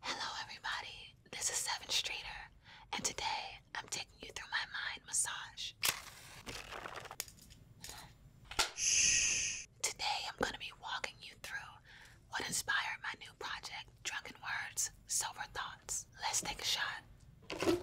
Hello, everybody. This is Seven Streeter, and today I'm taking you through my mind massage. Today I'm going to be walking you through what inspired my new project, Drunken Words, Sober Thoughts. Let's take a shot.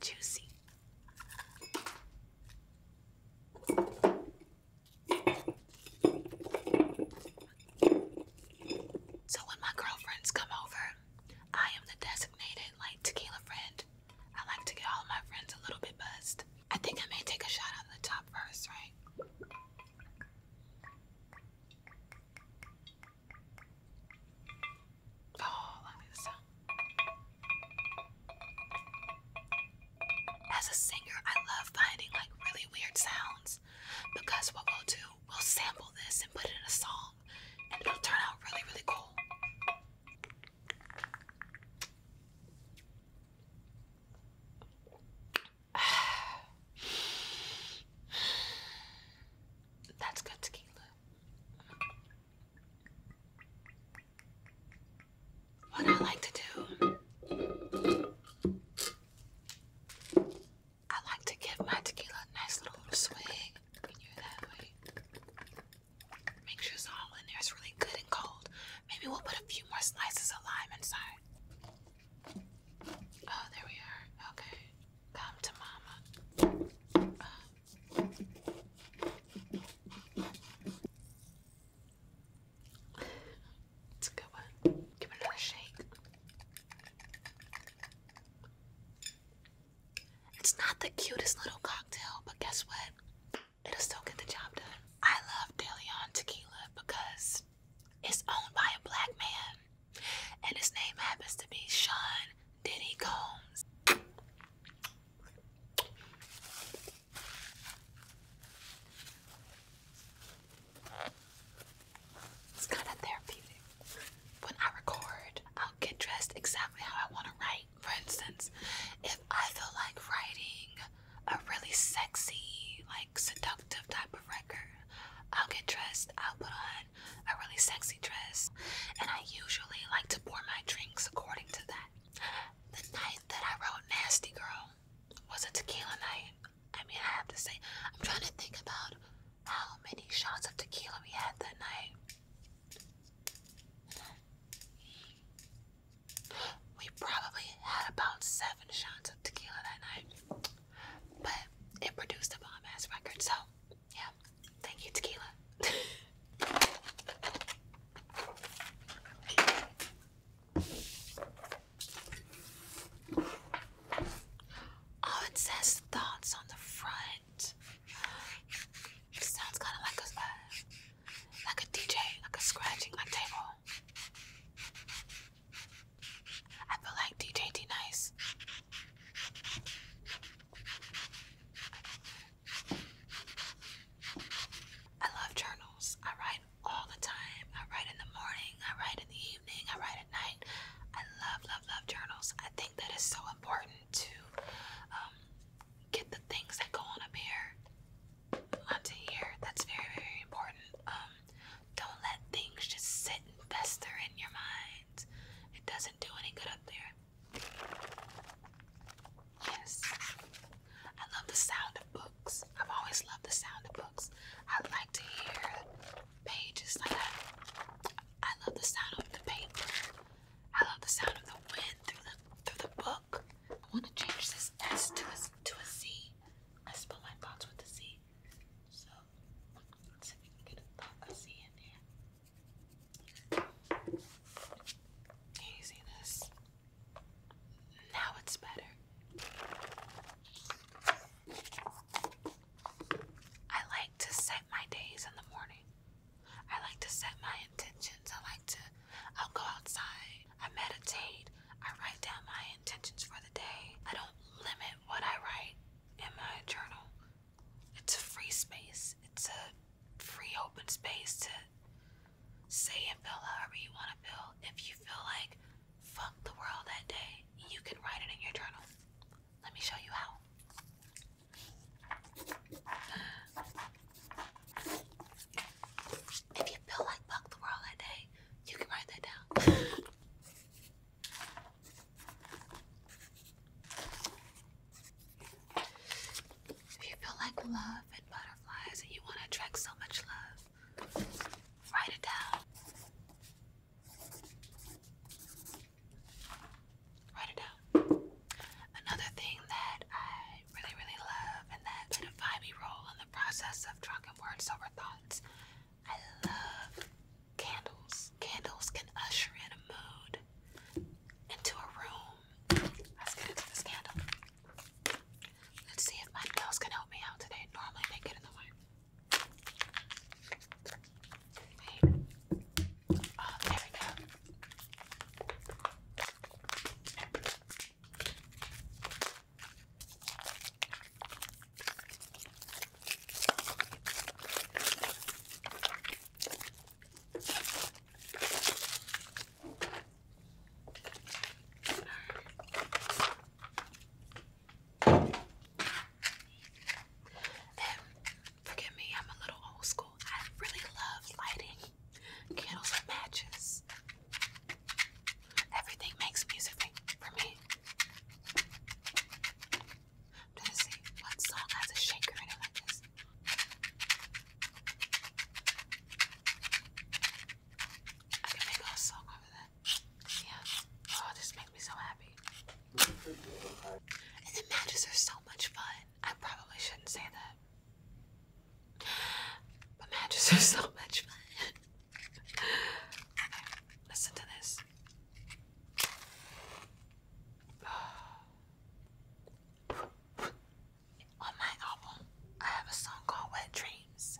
Juicy. So when my girlfriends come over, I am the designated like tequila friend. I like to get all of my friends a little bit buzzed. I think I may take a shot out the top first, right? Oh, let me this sound. As a singer, I love finding like really weird sounds because what we'll do, we'll sample this and put it in a song and it'll turn out really, really cool. That's good tequila. What I like to do, I like to give my tequila a nice little swig. Can Make sure it's all in there. It's really good and cold. Maybe we'll put a few more slices of lime inside. Oh, there we are. Okay. Come to mama. It's a good one. Give it another shake. It's not the cutest little cocktail, but guess what? It'll still get the job done. I love DeLeon tequila because it's owned by a black man and his name happens to be Sean Diddy Combs. It's kind of therapeutic. When I record, i get dressed exactly how I want to write. For instance, if I feel like writing a really sexy, like seductive type of record, I'll get dressed, I'll put on a really sexy dress, and I usually like to pour my drinks according to that. The night that I wrote Nasty Girl was a tequila night. I mean, I have to say, I'm trying to think about how many shots of tequila we had that night. We probably had about seven shots of tequila that night but it produced a bomb ass record. So, yeah, thank you, Tequila. oh, it says thoughts on the front. It sounds kind of like a uh, like a DJ, like a scratching on table. I feel like DJ Nice. I love journals. I write all the time. I write in the morning. I write in the evening. I write at night. I love, love, love journals. I think that is so important to um, get the things that go on up here onto uh, here. That's very, very important. Um, don't let things just sit and fester in your mind. It doesn't do any good up there. Yes. I love the sound of books. I've always loved the sound of books. I like to hear pages I love the sound of the paper. I love the sound of the wind through the through the book. I want to change this S to a, to a Z. I spell my thoughts with a Z. So can you see this? Now it's better. I like to set my days in the morning. I like to set my intentions. I like to, I'll go outside. I meditate. I write down my intentions for the day. I don't limit what I write in my journal. It's a free space, it's a free open space to say and feel however you want to feel. If you feel like fuck the world that day, you can write it in your journal. Let me show you how. If you feel like fuck the world that day, you can write that down. If you feel like love and butterflies and you want to attract so much love, write it down. Write it down. Another thing that I really, really love and that played a me role in the process of drunken words sober thoughts I love candles. Candles can usher in a mood into a room. Let's get into this candle. Let's see if my nails can help me out today. Normally they get in the way. Oh, there we go. Um, forgive me, I'm a little old school. I really love lighting candles and matches. Everything makes music for me. i what song has a shaker in it like this. I can make a song over that. Yeah. Oh, this makes me so happy. And the matches are so much fun. I probably shouldn't say that. But matches are so much fun listen to this. On my album, I have a song called Wet Dreams,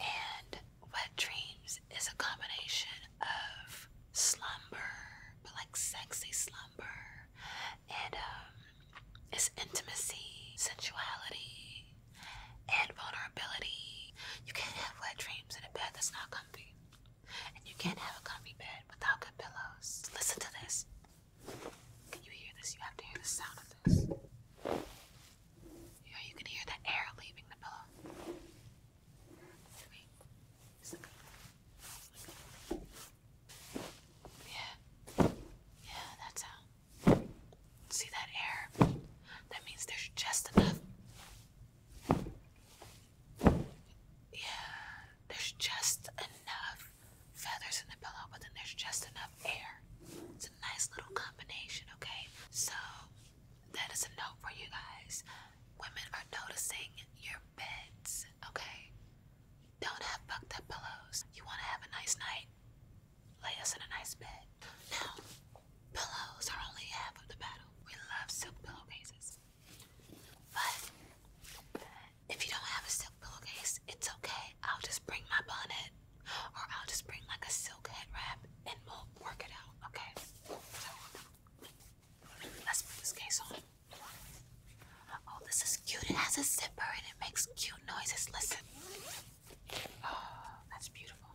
and Wet Dreams is a combination of slumber, but like sexy slumber, and um, it's intimacy, sensuality, and vulnerability. You can't have wet dreams in a bed that's not comfy. And you can't have a comfy bed without good pillows. Listen to this. Can you hear this? You have to hear the sound of this. You, you can hear the air leaving the pillow. Yeah. Yeah, that sound. See that air? That means there's just enough. Yeah, there's just enough feathers in the pillow, but then there's just enough air. It's a nice little combination, okay? So, that is a note for you guys. Women are noticing your beds, okay? Don't have fucked up pillows. You want to have a nice night? lay us in a nice bed. Now, pillows are only half of the battle. We love silk pillowcases. But if you don't have a silk pillowcase, it's okay. I'll just bring my bonnet or I'll just bring like a silk head wrap and we'll work it out, okay? let's put this case on. Oh, this is cute. It has a zipper and it makes cute noises. Listen. Oh, that's beautiful.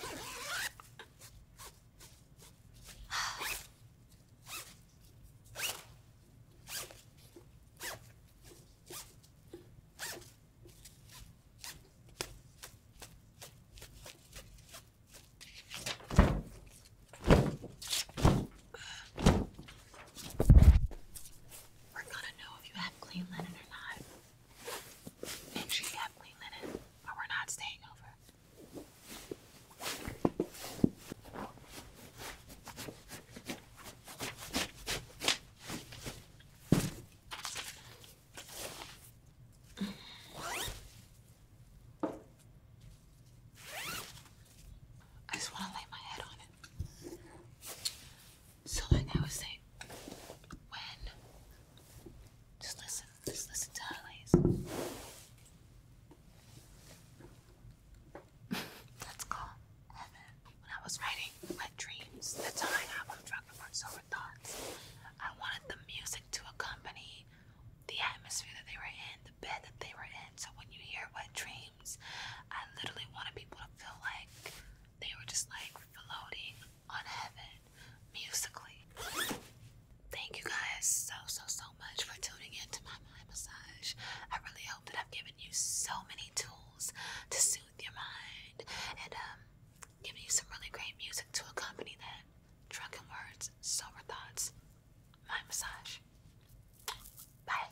We're gonna know if you have clean linen or not and she you have clean linen, but we're not staying over. I just want to lay my head on it. So like I was saying, when just listen, just listen to her lace. That's called When I was writing Wet Dreams, the time I was talking about sober thoughts, I wanted the music to accompany the atmosphere that they were in, the bed that they were in. So when you hear Wet Dreams, I literally wanted people to feel like they were just like floating on heaven musically. Thank you guys so, so, so much for tuning in to my mind massage. I really hope that I've given you so many tools to soothe your mind and um, given you some really great music to accompany that. Drunken words, sober thoughts, mind massage. Bye.